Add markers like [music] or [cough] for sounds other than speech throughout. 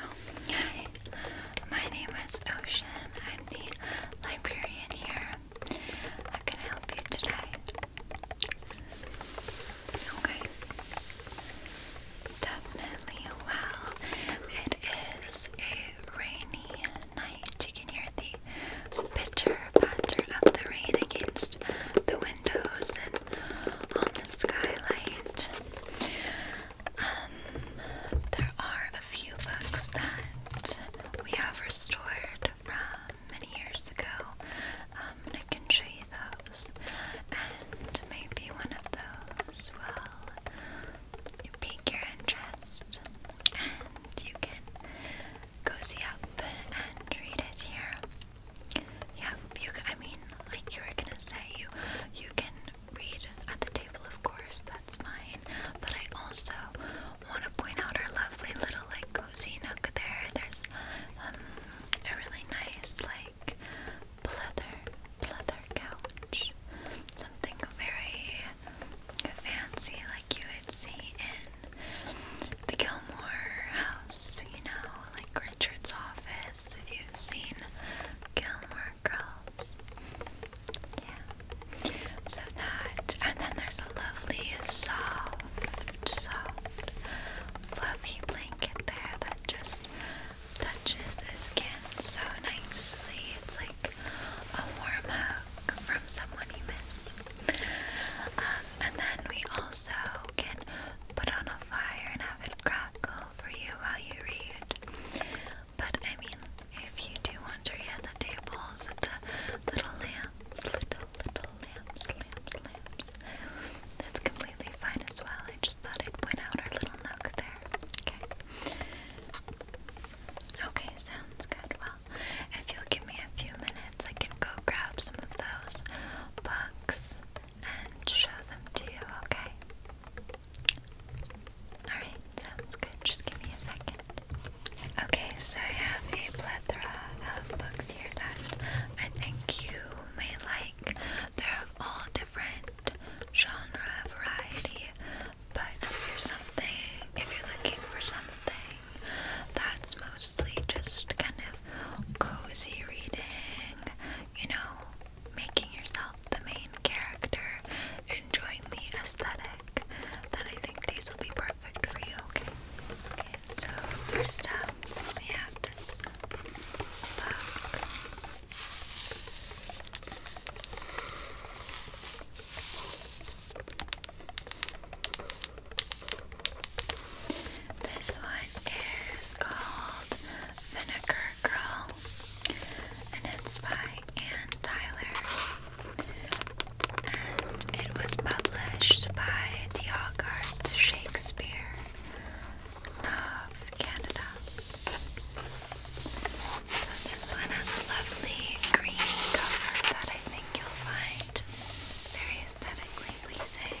Oh, hi. My name is Ocean. I'm the librarian here. How can I help you today? Okay. Definitely. Well, it is a rainy night. You can hear the pitter patter of the rain against the windows and on the skylight. Um, there are a few books that we have restored from many years ago. Um, I can show you those, and maybe one of those will pique your interest, and you can go see up and read it here. Yeah, you. I mean, like you were gonna say, you you can read at the table, of course, that's fine. But I also want to point out our lovely little like cozy nook there. There's um, a really nice like pleather, pleather couch, something very fancy like you would see in the Gilmore house, you know, like Richard's office. If you've seen Gilmore Girls. Yeah. So that, and then there's a lovely soft, soft, fluffy blanket there that just touches the skin so nicely. It's like a warm hug from someone you miss. Um, and then we also can put on a fire and have it crackle for you while you read. But I mean, if you do want to read at the tables, at the little lamps, little, little lamps, lamps, lamps, that's completely fine as well. I just thought I'd point out our little nook there. Okay. Okay, sounds good. Well, if you'll give me a few minutes, I can go grab some of those books and show them to you, okay? Alright, sounds good. Just give me a second. Okay, so I have a plethora of books here that I think you may like. They're of all different genre variety, but if you're something, if you're looking for something that's mostly just kind of cozy reading, you know, making yourself the main character, enjoying the aesthetic, then I think these will be perfect for you, okay? Okay, so first up, we have this This one is called Vinegar Girl, and it's by Anne Tyler. And it was published by the Hogarth Shakespeare of Canada. So this one has a lovely green cover that I think you'll find very aesthetically pleasing.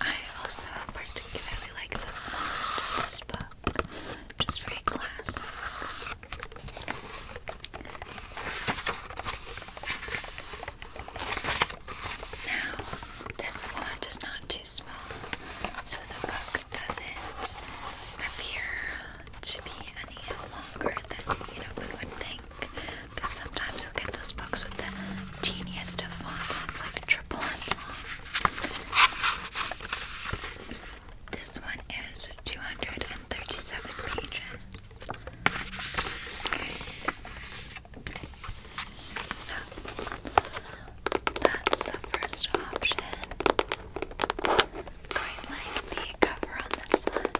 I also particularly like the font of this book, just very classic. Now, this font is not too small, so the book doesn't appear to be any longer than you know we would think because sometimes you'll get those books with the teeniest of fonts, and it's like triple as long. This one is 237 pages. Okay. So, that's the first option. Quite like the cover on this one.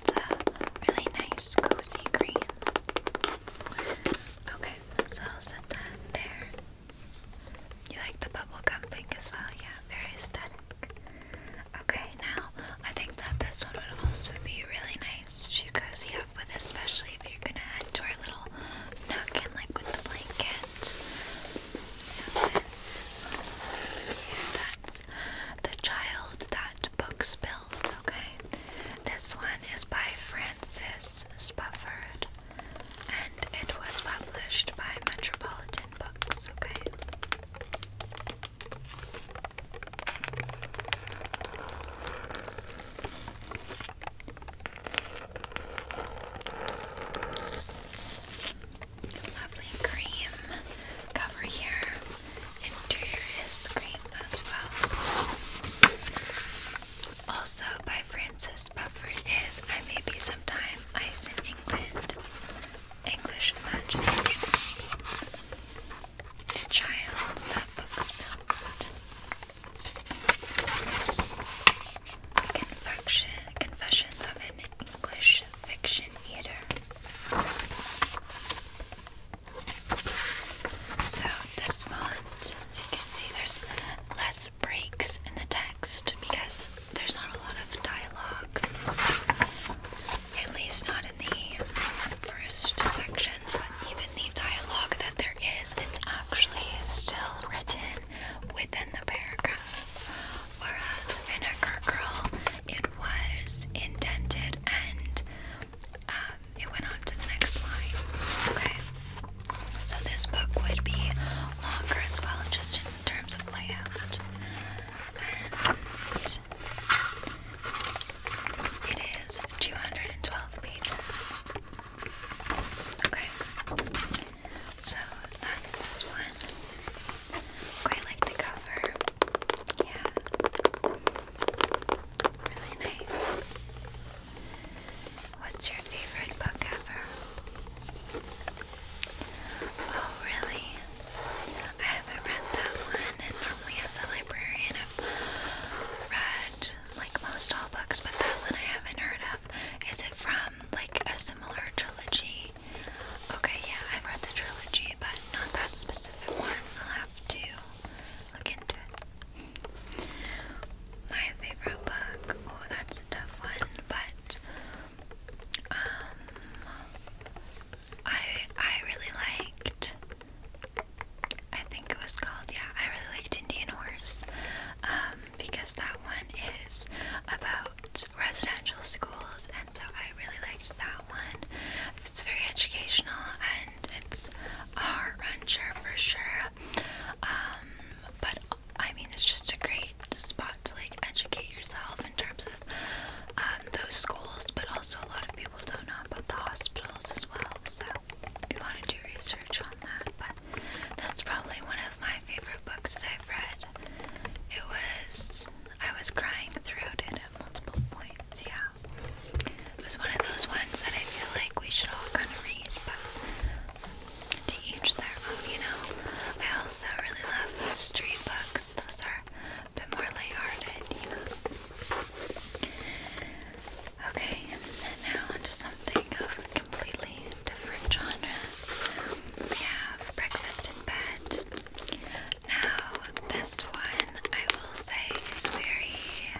It's a really nice, cozy green. Okay, so I'll set that there. You like the bubblegum pink as well? Yeah, very aesthetic. Okay, now I think that this one would also be really nice to cozy up with, especially if you're gonna head to our little nook and like with the blanket. this, that's the child that book spilled Okay, this one is by Francis Sputford and it was published by Metropolitan Books. Okay. Lovely cream cover here into your ice as well. Also by Francis Bufford is I May Be Sometime Ice in England, English Imagination, The Child's That Book's Built, Confection, Confessions of an English Fiction reader. So this font, as you can see, there's less breaks in the text because there's not a lot of dialogue. At least not in the first sections, but even the dialogue that there is, it's actually still written within the paragraph. Whereas Vinegar Girl, it was indented and um, it went on to the next line. Okay, so this book would be longer as well, just in terms of layout. it is 212 pages. Okay, so that's this one. Quite like the cover. Yeah. Really nice. What's your favorite book ever? Oh, really? I haven't read that one, and normally as a librarian, I've read like most all books, but that one I haven't heard of. Is it from like a similar trilogy? Okay, yeah, I've read the trilogy, but not that specific one to look into it. My favorite book, oh, that's a tough one, but um, I I really liked. I think it was called, yeah, I really liked Indian Horse, um, because that one is about residential schools and so I really liked that one. It's very educational and it's a heart wrencher for sure. Um, but I mean, it's just a great spot to like educate yourself in terms of um, those schools, but also a lot of people don't know about the hospitals as well. So if you want to do research on that, but that's probably one of my favorite books that I've read. It was I was crying throughout it at multiple points, yeah. It was one of those ones that I feel like we should all kind of read, but to each their own, you know. I also really love mystery books, those are a bit more lighthearted, Okay, and now onto something of a completely different genre. We have Breakfast in Bed. Now, this one I will say is very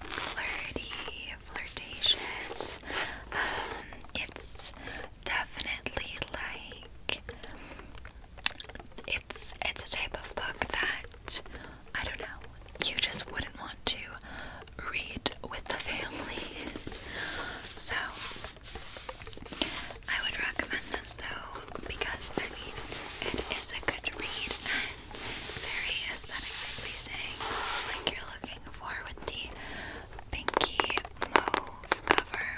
flirty, flirtatious. Um, it's definitely like it's it's a type of book that I don't know. You just wouldn't want to read with the family. So I would recommend this though because I mean it is a good read and very aesthetically pleasing, like you're looking for with the pinky mauve cover.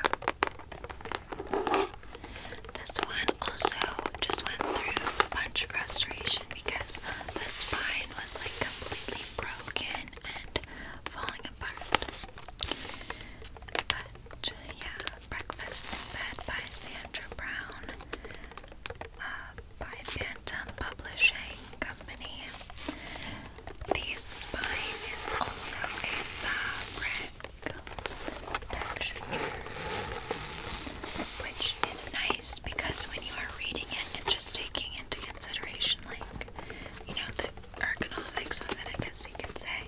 This one also just went through a bunch of restoration because the spine was like completely broken and falling apart yeah, Breakfast in Bed by Sandra Brown uh, by Phantom Publishing Company. These spine is also a fabric texture, which is nice because when you are reading it and just taking into consideration, like, you know, the ergonomics of it, I guess could say.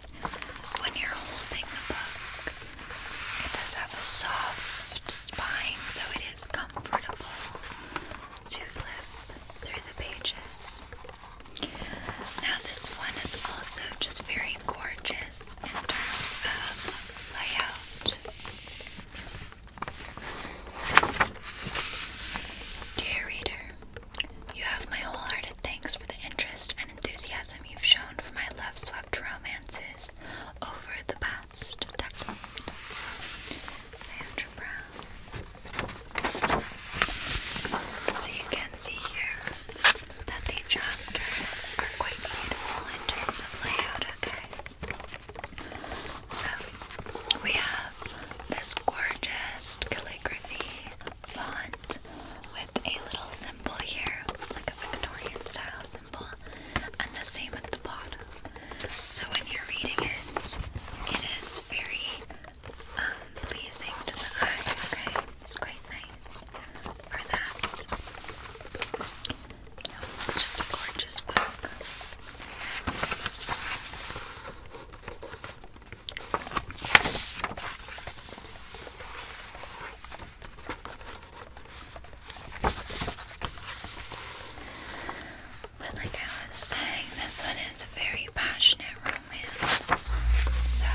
When you're holding the book, it does have a soft spine, so it is comfortable to flip through the pages. Now, this one is also just very gorgeous in terms of layout. Dear reader, you have my wholehearted thanks for the interest and enthusiasm you've shown for my love swept romances over the past decade. Sandra Brown. So you can see here that the chapters are quite beautiful in terms of layout, okay? So we have this gorgeous calligraphy font with a little symbol here, like a Victorian style symbol, and the same at the bottom. So when you're reading it, it is very um, pleasing to the eye, okay? It's quite nice for that. it's just a gorgeous book. But like I was saying, this one is a very passionate romance. So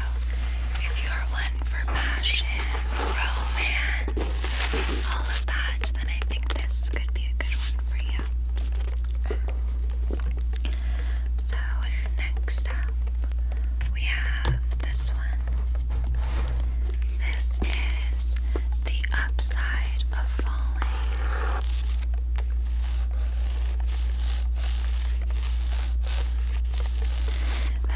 if you're one for passion, romance, all of that, then I think this could be a good one for you. So next up we have this one. This is the upside of falling.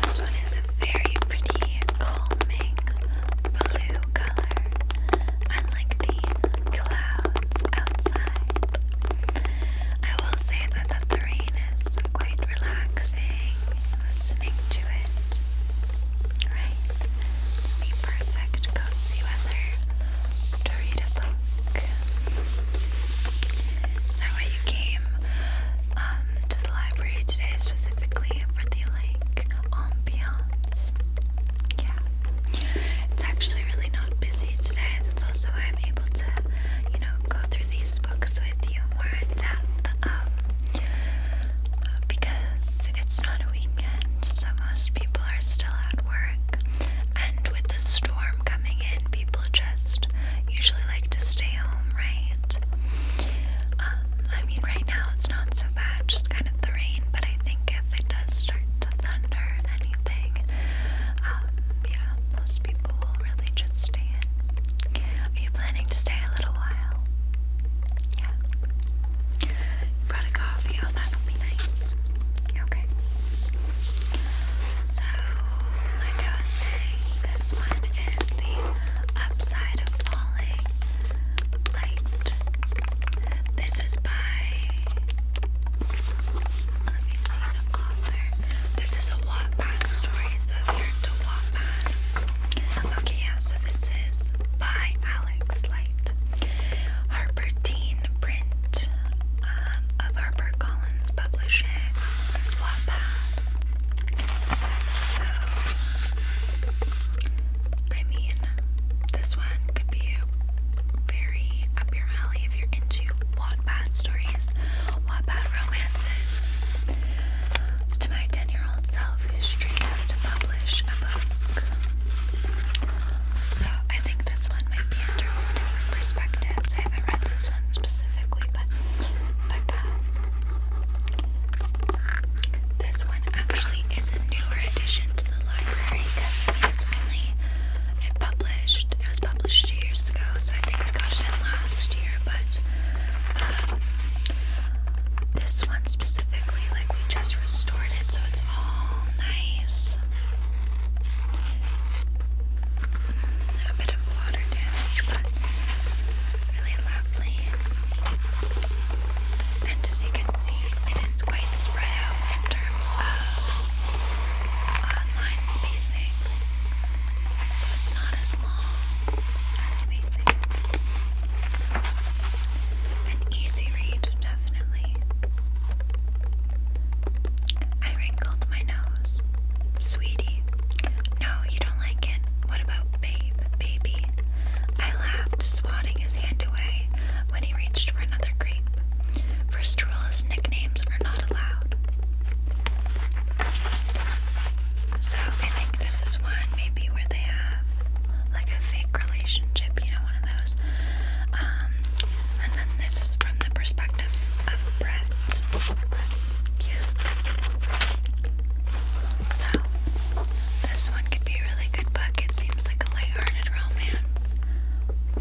This one is a very pretty, calming blue color, unlike the clouds outside. I will say that the rain is quite relaxing, listening to it. Right? It's perfect cozy weather to read a book. Is that why you came um, to the library today specifically for the like ambiance? Yeah. It's actually really not busy today friends. Also, I'm able to, you know, go through these books with you more in depth um, because it's not a weekend, so most people are still at work. And with the storm coming in, people just usually like to stay home, right? Um, I mean, right now it's not so bad, just kind of the rain, but I think if it does start to thunder anything, um, yeah, most people will really just stay in. Are you planning to stay a little while? Yeah. brought a coffee, oh that'll be nice. Okay. So like I was saying, this one is the upside of falling light. This is by let me see the author. This is a Wattpad story, so if you're into Wattpad. Okay, yeah, so this is by Alex Light. Harper Print um, of Harper Publishing. Wattpad. So, I mean, this one could be very up your alley if you're into Wattpad stories, Wattpad romances. To my 10 year old self, whose dream to publish a book. So I think this one might be in terms of different perspectives. I haven't read this one specifically, but but uh, This one actually is a newer addition to the library because it's only it published. It was published years ago, so I think I got it in last year. But um, this one specifically, like we just restored it, so it's all nice. Mm, a bit of water damage, but really lovely. And as you can see, it is quite spread out in terms of online spacing, so it's not as long as you An easy read, definitely. I wrinkled my nose. Sweetie, no, you don't like it. What about babe, baby? I laughed, swatting his hand away when he reached for another grape, for Strulla's nicknames were not allowed. So I think this is one maybe where they have like a fake relationship, you know, one of those. Um, and then this is from the perspective of Brett. So this one could be really good book. It seems like a lighthearted romance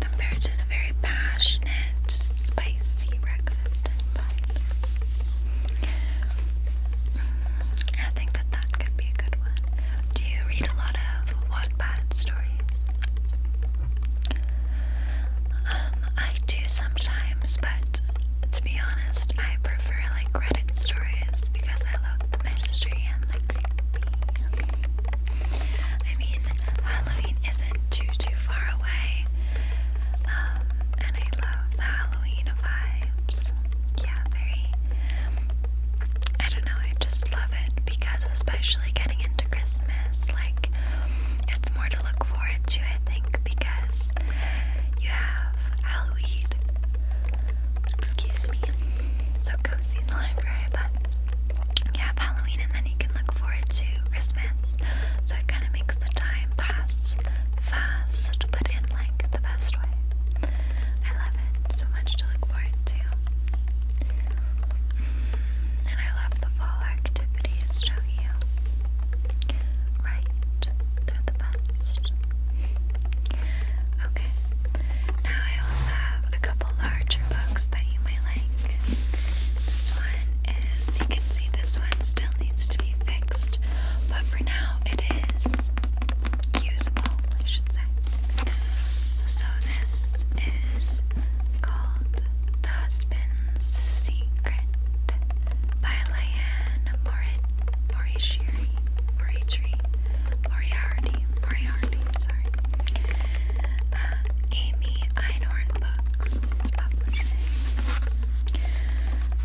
compared to the very passionate, spicy breakfast I think that that could be a good one. Do you read a lot of Wattpad stories? Um, I do sometimes, but to be honest, I prefer like Reddit stories because I love the mystery and the creepy. I mean, Halloween isn't too too far away, um, and I love the Halloween vibes. Yeah, very. I don't know. I just love it because, especially getting into Christmas, like it's more to look forward to. I think because you have Halloween. Excuse me. So cozy in the library, but you Halloween and then you can look forward to Christmas. So it kind of makes the time pass fast, but in like the best way. I love it. So much to look forward to. And I love the fall activities, do Right. They're the best. Okay. Now I also have a couple larger books that you might like. This one is, you can see this one still needs to be fixed, but for now it is usable, I should say. So this is called The Husband's Secret by Leanne Moriarty. Moriarty. Moriarty. Moriarty sorry. Uh, Amy Einhorn Books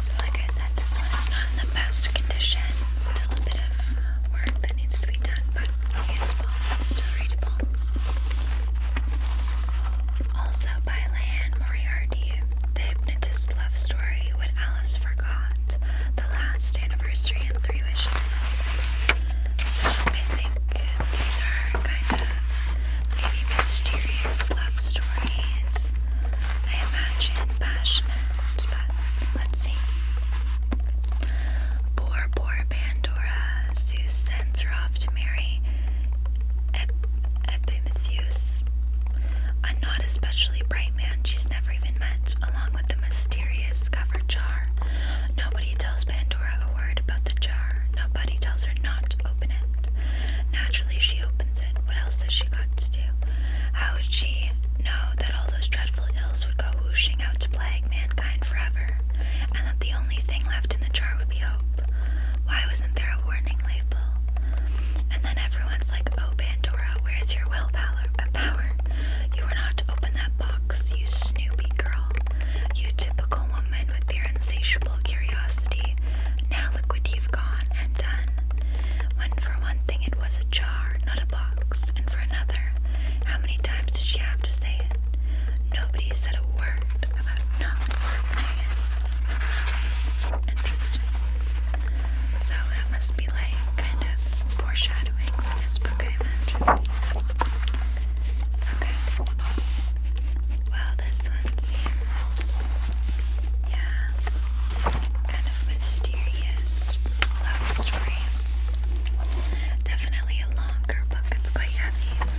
So, like I said, this one is not in the best condition. Still a bit of work that needs to be done, but useful still readable. Also by Leanne Moriarty, The Hypnotist's Love Story, What Alice Forgot, The Last Anniversary and Three Wishes. So I think these are kind of maybe mysterious love stories. I imagine passionate, but let's see. Poor, poor Pandora, Zeus to marry Epimetheus, a not especially bright man she's never even met, along with the mysterious cover jar. No Nobody tells Pandora a word about the jar. Nobody tells her not to open it. Naturally, she opens it. What else has she got to do? How would she know that all those dreadful ills would go whooshing out to plague mankind forever, and that the only thing left in the jar would be hope? Why wasn't there a warning label? And then everyone's like, "Oh, Pandora, where's your willpower? Power? You were not to open that box." you snoopy girl. You typical woman with your insatiable curiosity. Now look what you've gone and done. When for one thing it was a jar, not a box, and for another, how many times did she have to say it? Nobody said a word about not So that must be like kind of foreshadowing for this book, I imagine. Okay. Well, this one seems, yeah, kind of mysterious love story. Definitely a longer book. It's quite heavy,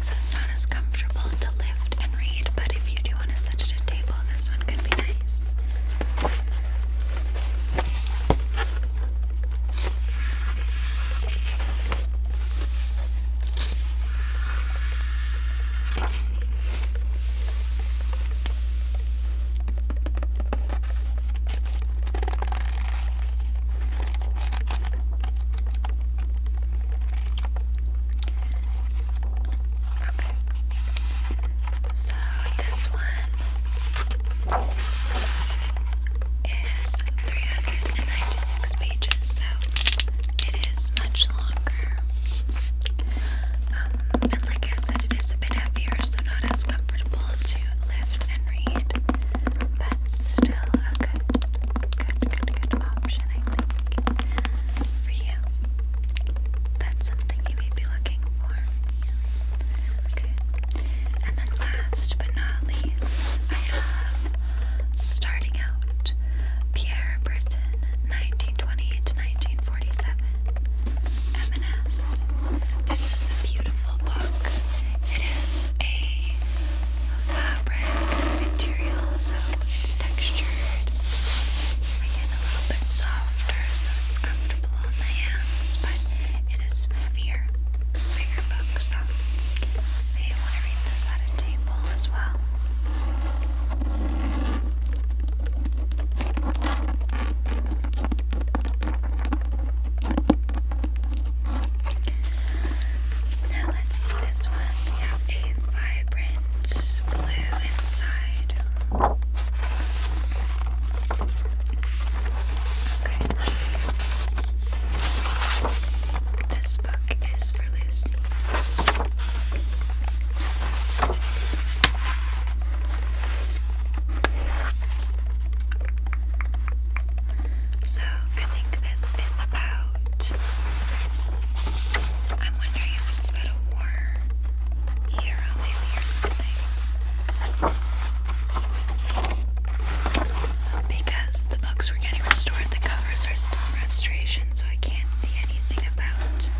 so it's not as comfortable to lift and read. But if you do want to set it at a table, this one could be nice. Okay. So this one one is 396 pages, so it is much longer. Um, and like I said, it is a bit heavier, so not as comfortable to lift and read, but still a good, good, good, good option, I think, for you. That's something you may be looking for. Okay. And then last but not least, I have starting out Pierre Britain 1928 to 1947 M&S. This is a beautiful book. It is a fabric material, so it's textured. Again, a little bit softer, so it's comfortable on my hands, but it is heavier, bigger book, so I want to read this at a table as well. Now let's see this one. We have a vibrant blue inside. Okay. This book is for Lucy. So, I think this is about. I'm wondering if it's about a war year or something. Because the books were getting restored, the covers are still restoration, so I can't see anything about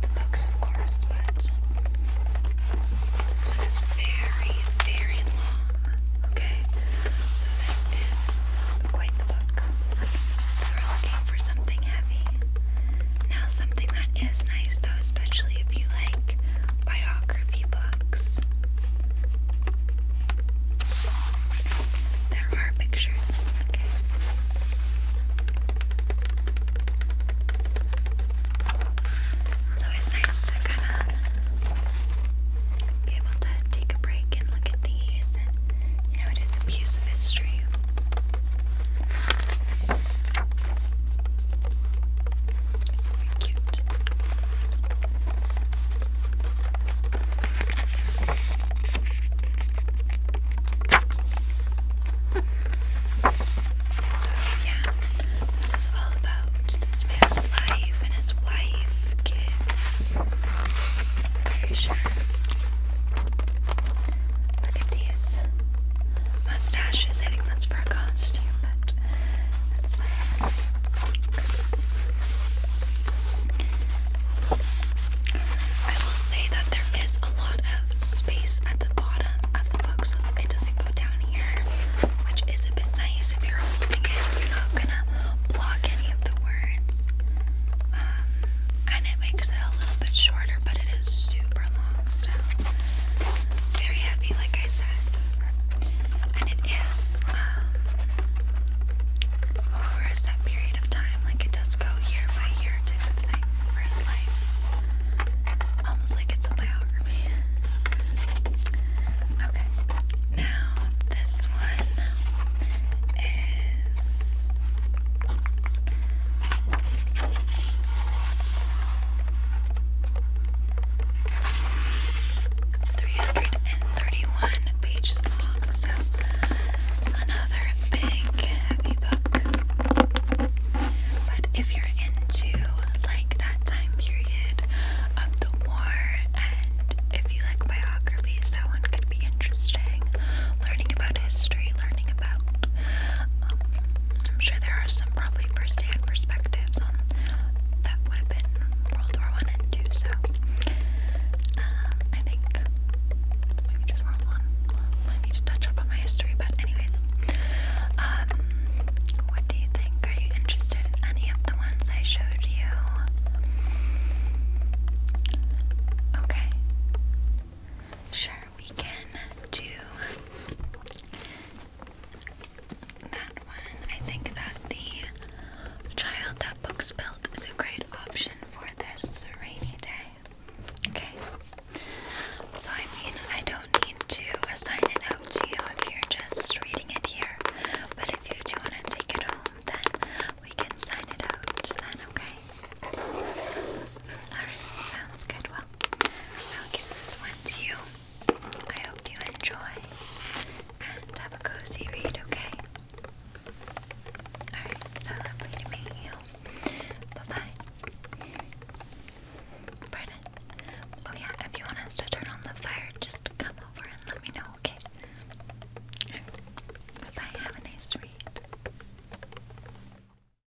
the books, of course, but this is very, very long. Okay, so this is quite the book. We were looking for something heavy. Now, something that is nice though, especially if you like biography books, there are pictures. Okay. So it's nice to kind of be able to take a break and look at these, you know, it is a piece of history. Very cute. [laughs] So yeah, this is all about this man's life and his wife, kids. Very sure. Look at these mustaches. I think that's for a costume, but I will say that there is a lot of space at the bottom of the book so that it doesn't go down here, which is a bit nice if you're holding it. You're not gonna block any of the words. Um, and it makes it a little bit shorter, but it is super long very heavy, like I said, and it is um, over a set period of time. Like it does go year by year type of thing for his life, almost like it's a biography. Okay, now this one is 331 pages long, so another big, heavy book. But if you're into like that time period of the war, and if you like biographies, that one could be interesting. Learning about history, learning um, I'm sure there are some probably first-hand perspectives on that would have been World War One and Two. So uh, I think maybe just World War One. I need to touch up on my history, but anyways, um, what do you think? Are you interested in any of the ones I showed you? Okay. Sure we can do that one. I think that the child that books built is a great option for this rainy day. Okay. So I mean, I don't need to assign it out to you if you're just reading it here. But if you do want to take it home, then we can sign it out then, okay? Alright, sounds good. I'll give this one to you. I hope you enjoy and have a cozy read, okay? Alright, so lovely to meet you. Bye bye. Pardon? Oh, yeah, if you want us to turn on the fire, just come over and let me know, okay? bye. Have a nice read.